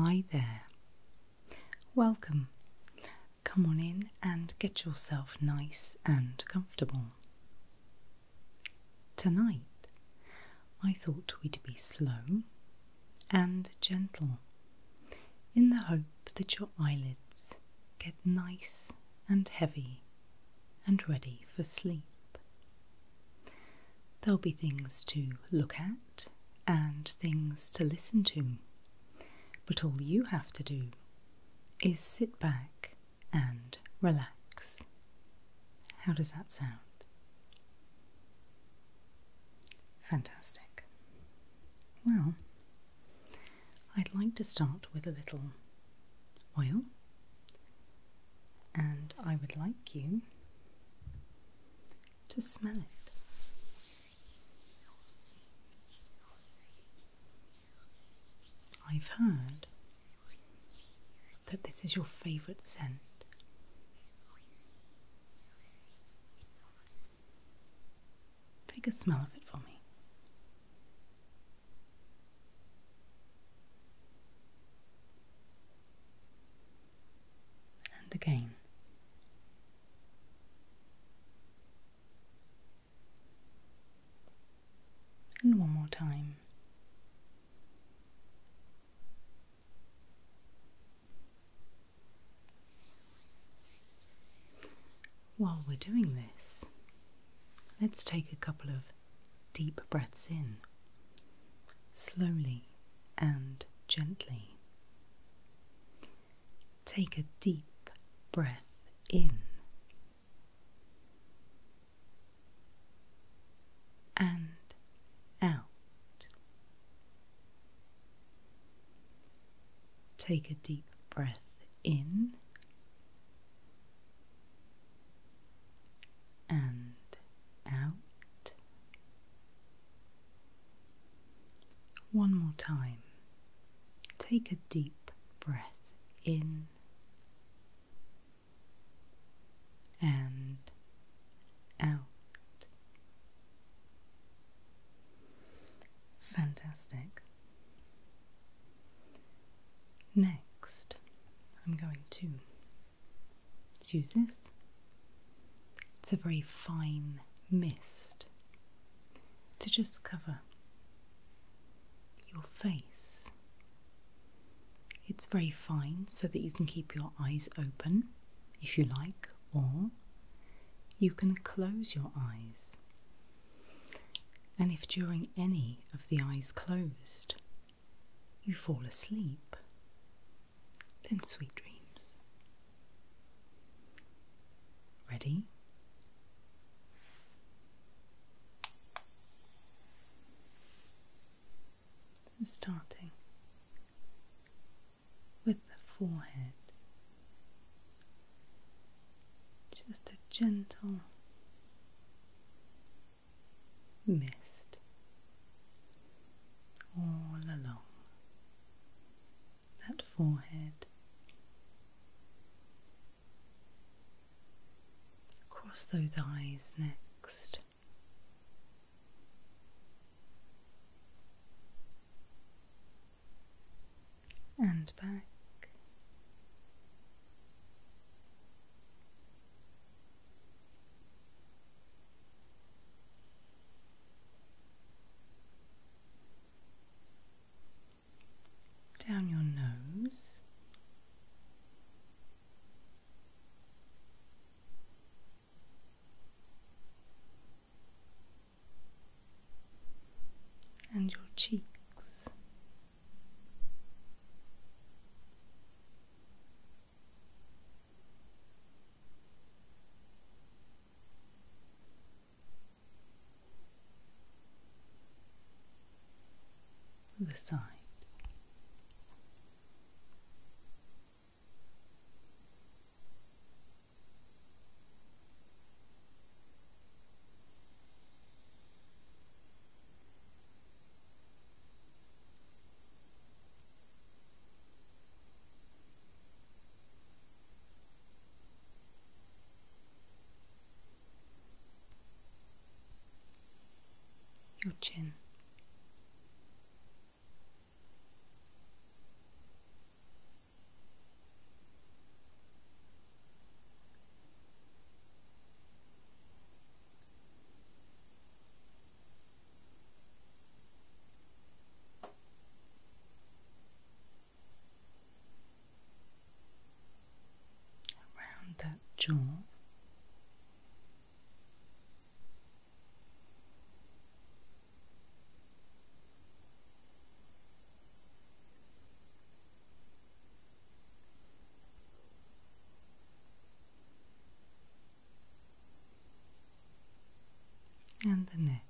Hi there. Welcome. Come on in and get yourself nice and comfortable. Tonight, I thought we'd be slow and gentle in the hope that your eyelids get nice and heavy and ready for sleep. There'll be things to look at and things to listen to, but all you have to do is sit back and relax. How does that sound? Fantastic. Well, I'd like to start with a little oil and I would like you to smell it. I've heard that this is your favourite scent. Take a smell of it for me and again. And one more time. While we're doing this, let's take a couple of deep breaths in, slowly and gently. Take a deep breath in and out. Take a deep breath in and out. One more time. Take a deep breath in and out. Fantastic. Next, I'm going to let use this. It's a very fine mist to just cover your face. It's very fine so that you can keep your eyes open if you like, or you can close your eyes. And if during any of the eyes closed, you fall asleep, then sweet dreams. Ready? I'm starting with the forehead, just a gentle mist all along that forehead, Cross those eyes next. And back down your nose. And your cheeks, the side your chin around that jaw and the neck.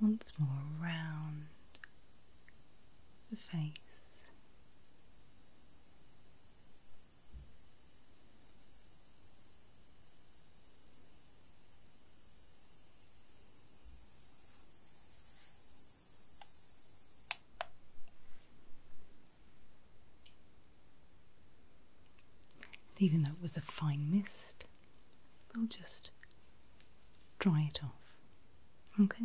Once more around the face even though it was a fine mist, we'll just dry it off. Okay?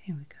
Here we go.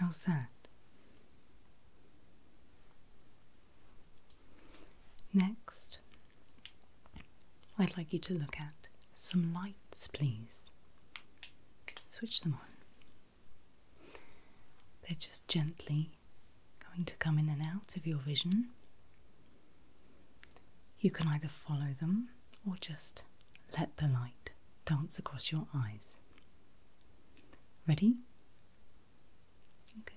How's that? Next, I'd like you to look at some lights, please. Switch them on. They're just gently going to come in and out of your vision. You can either follow them or just let the light dance across your eyes. Ready? Okay.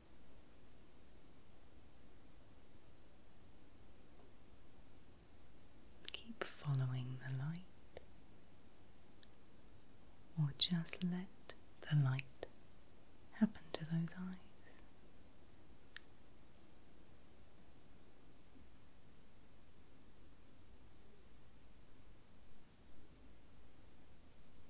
Keep following the light, or just let the light happen to those eyes.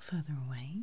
Further away,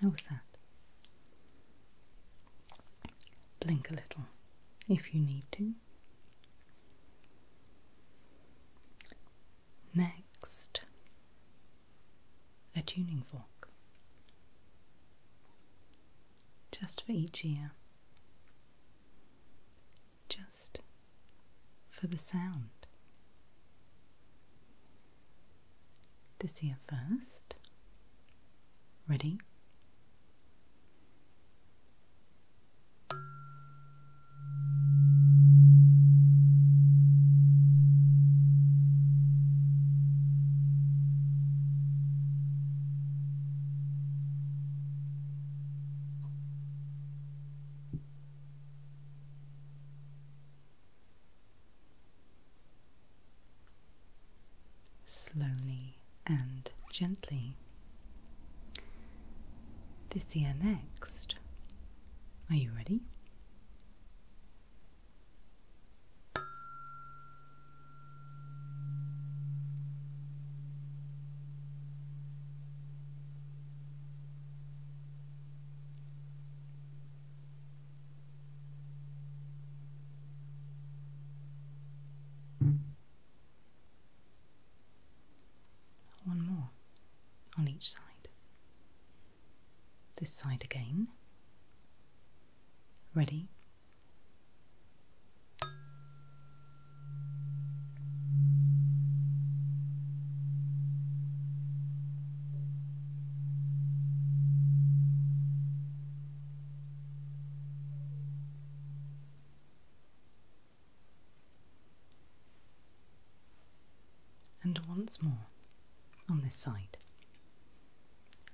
How's that? Blink a little if you need to. Next, a tuning fork, just for each ear, just for the sound this here first. Ready? slowly and gently. This ear next. Are you ready? One more on each side. This side again. Ready? And once more on this side.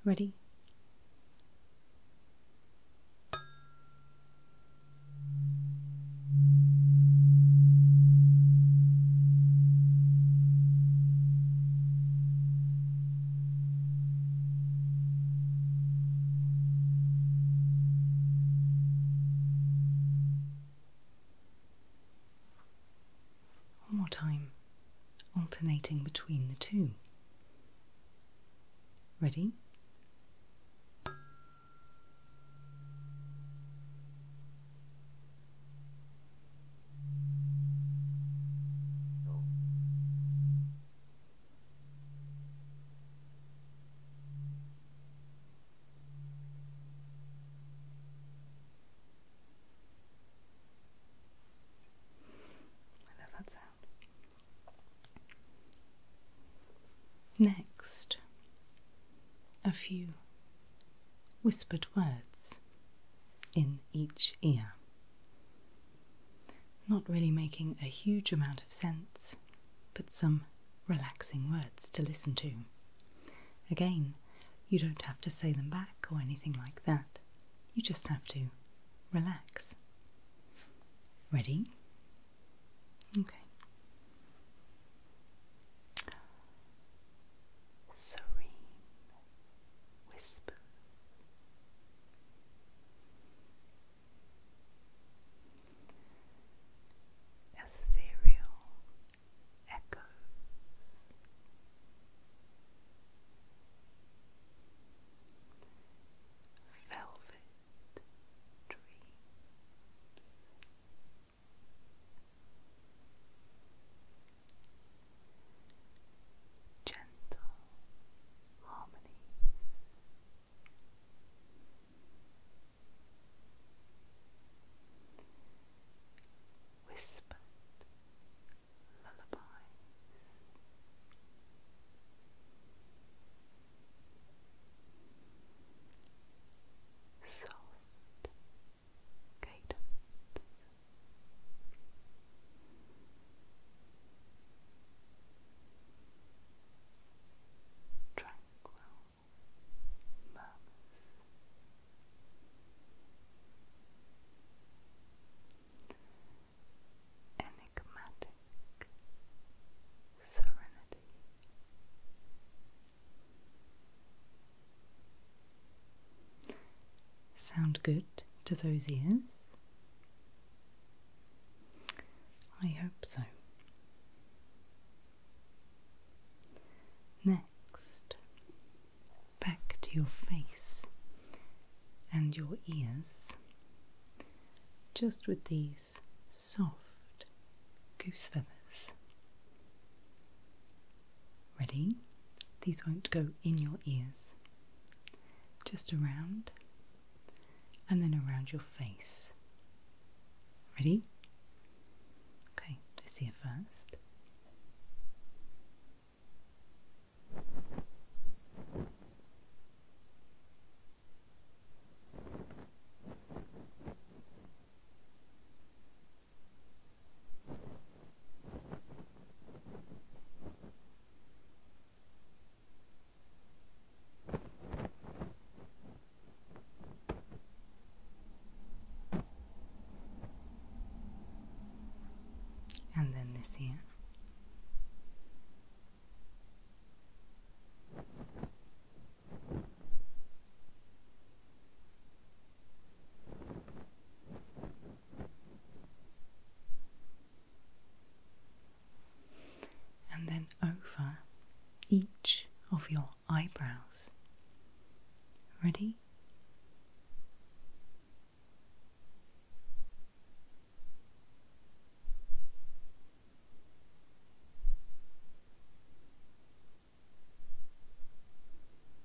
Ready? One more time, alternating between the two. Ready? I love that sound. Next, a few whispered words in each ear. Not really making a huge amount of sense, but some relaxing words to listen to. Again, you don't have to say them back or anything like that. You just have to relax. Ready? Okay serene whisper. Ethereal echoes. Velvet dreams gentle harmonies. Whispered lullabies. Soft cadence. Tranquil murmurs. Enigmatic serenity. Sound good to those ears? I hope so. Next, back to your face and your ears, just with these soft goose feathers. Ready? These won't go in your ears, just around and then around your face. Ready? Okay, let's first. And then this here and then over each of your eyebrows. Ready?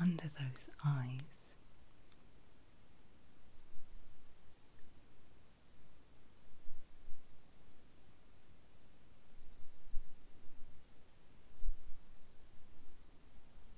Under those eyes.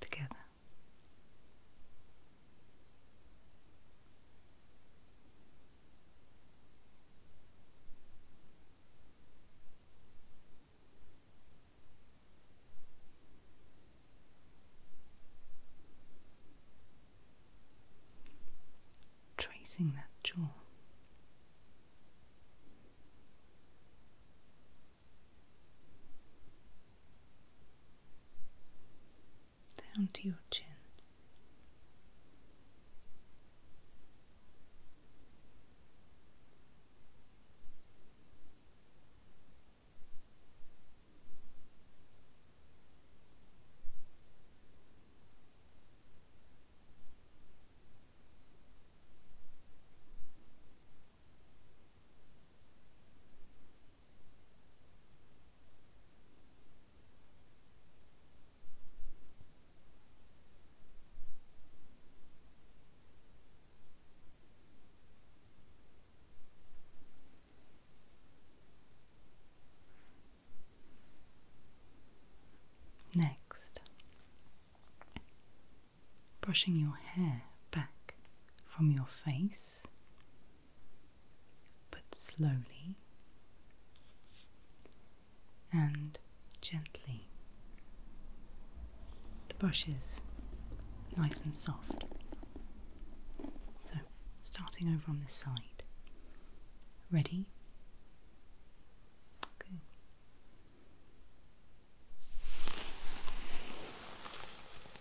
together. Tracing that jaw down to your chin. Next, brushing your hair back from your face, but slowly and gently. The brush is nice and soft. So, starting over on this side. Ready? Okay.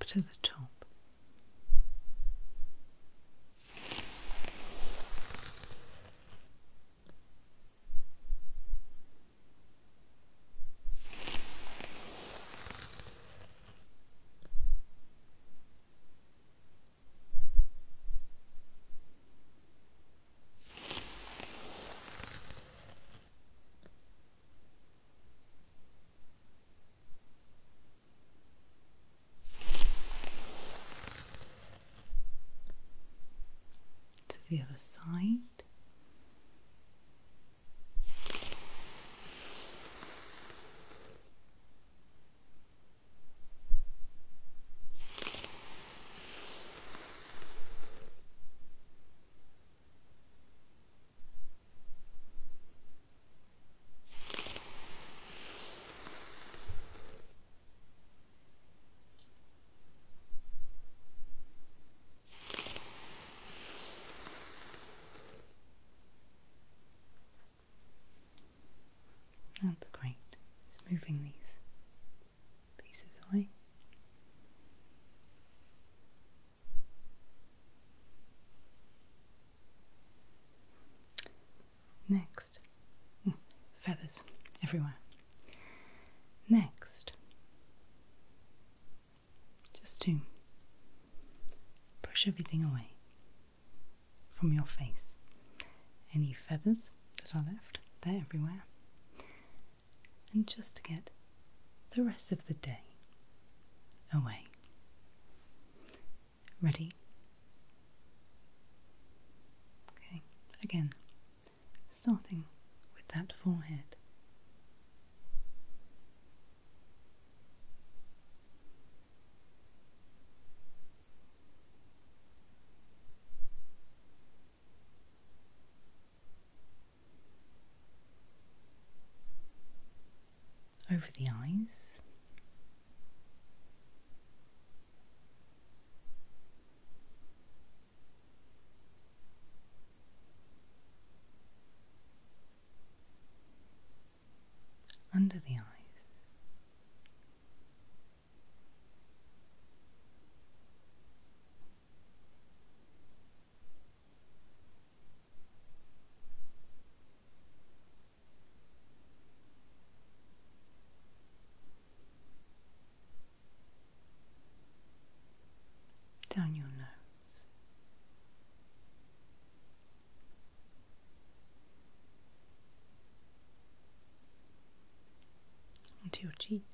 up to the top to the other side. That's great. It's moving these pieces away. Next, hmm, feathers everywhere. Next, just to brush everything away from your face. Any feathers that are left, they're everywhere and just to get the rest of the day away. Ready? Okay, again, starting with that forehead over the eyes. Under the eyes, down your nose onto your cheeks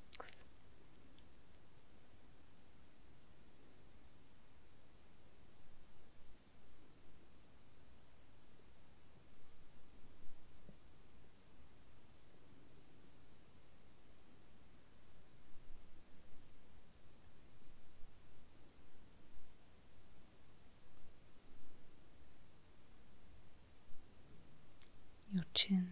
your chin.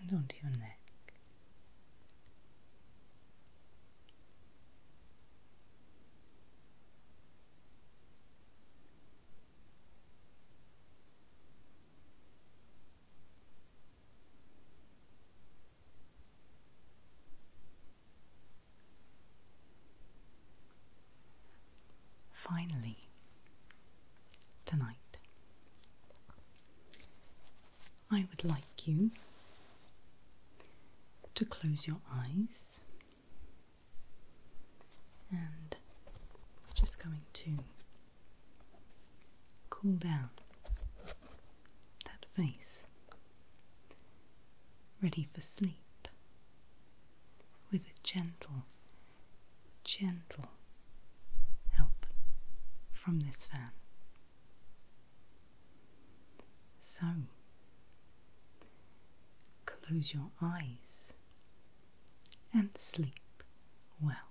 And onto your neck. Finally, tonight, I would like you to close your eyes and just going to Cool down that face, ready for sleep, with a gentle, gentle help from this fan. So, close your eyes and sleep well.